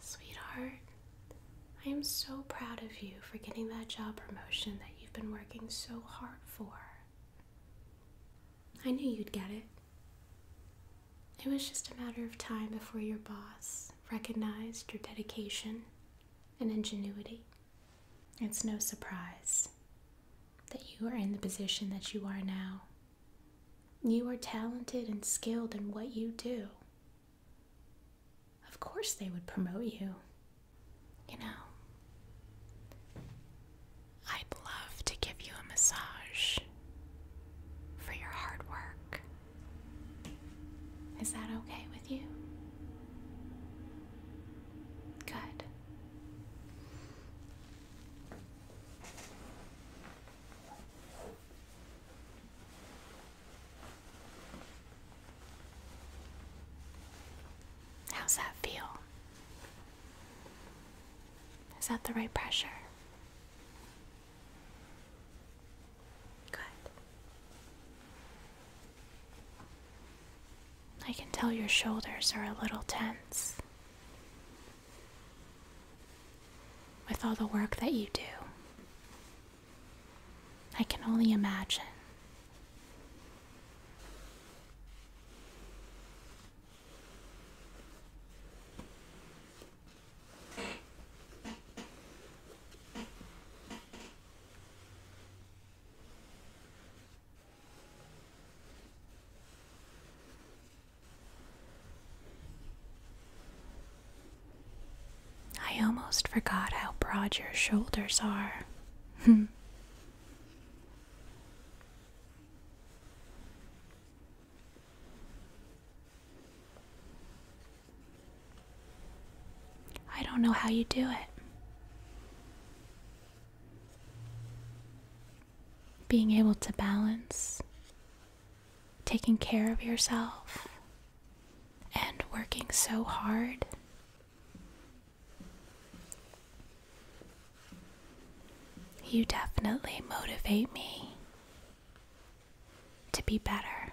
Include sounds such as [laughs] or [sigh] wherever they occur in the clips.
Sweetheart, I am so proud of you for getting that job promotion that you've been working so hard for. I knew you'd get it. It was just a matter of time before your boss recognized your dedication and ingenuity. It's no surprise that you are in the position that you are now. You are talented and skilled in what you do. Of course, they would promote you. You know, I'd love to give you a massage for your hard work. Is that okay with you? Good. How's that feel? Is that the right pressure? Good. I can tell your shoulders are a little tense. With all the work that you do, I can only imagine. I almost forgot how broad your shoulders are. [laughs] I don't know how you do it being able to balance taking care of yourself and working so hard. You definitely motivate me to be better.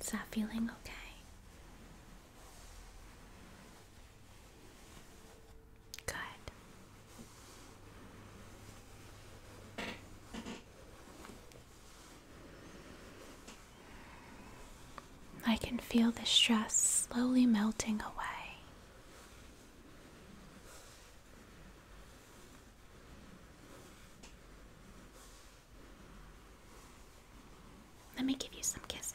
Is that feeling okay? Good. I can feel the stress slowly melting away. Let me give you some kisses.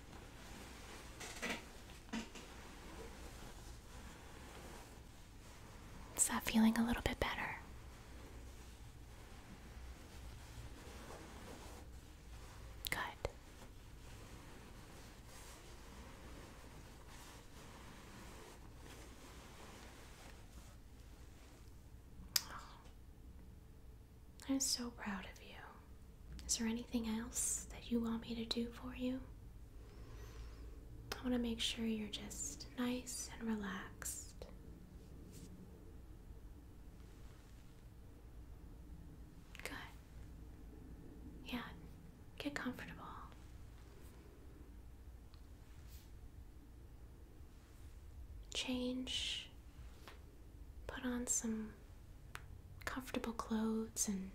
Is that feeling a little bit better? Good. I'm so proud of you. Is there anything else that you want me to do for you? I want to make sure you're just nice and relaxed. Good. Yeah, get comfortable change, put on some comfortable clothes, and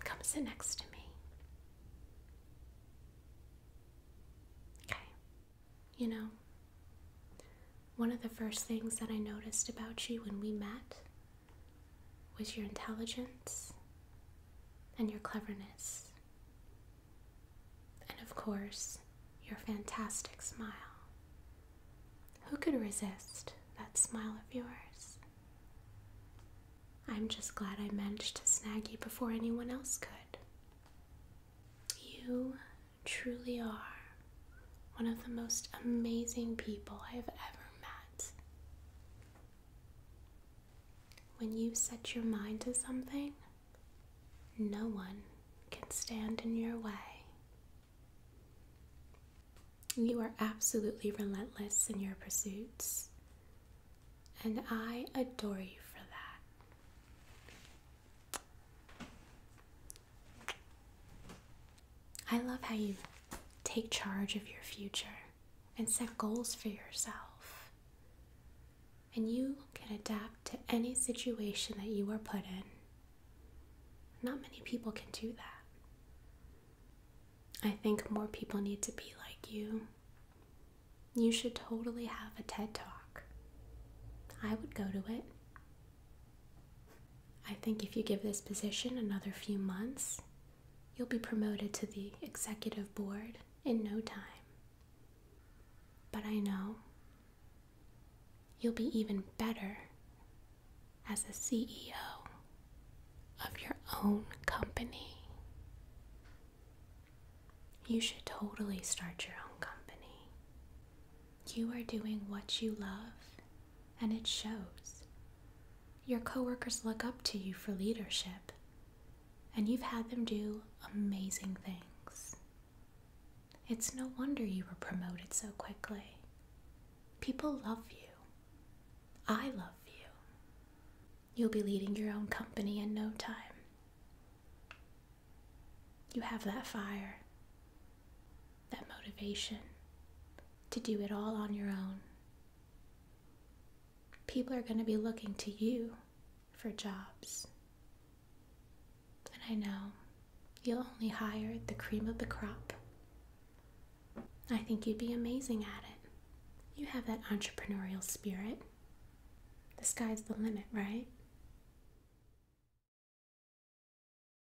come sit next to me. Okay. You know, one of the first things that I noticed about you when we met was your intelligence and your cleverness. And of course, your fantastic smile. Who could resist that smile of yours? I'm just glad I managed to snag you before anyone else could. You truly are one of the most amazing people I have ever met. When you set your mind to something, no one can stand in your way. You are absolutely relentless in your pursuits, and I adore you for that. I love how you take charge of your future and set goals for yourself. And you can adapt to any situation that you are put in. Not many people can do that. I think more people need to be like you. You should totally have a TED Talk. I would go to it. I think if you give this position another few months, You'll be promoted to the executive board in no time. But I know you'll be even better as a CEO of your own company. You should totally start your own company. You are doing what you love and it shows. Your coworkers look up to you for leadership, and you've had them do amazing things. It's no wonder you were promoted so quickly. People love you. I love you. You'll be leading your own company in no time. You have that fire that motivation to do it all on your own. People are going to be looking to you for jobs. And I know you'll only hire the cream of the crop. I think you'd be amazing at it. You have that entrepreneurial spirit. The sky's the limit, right?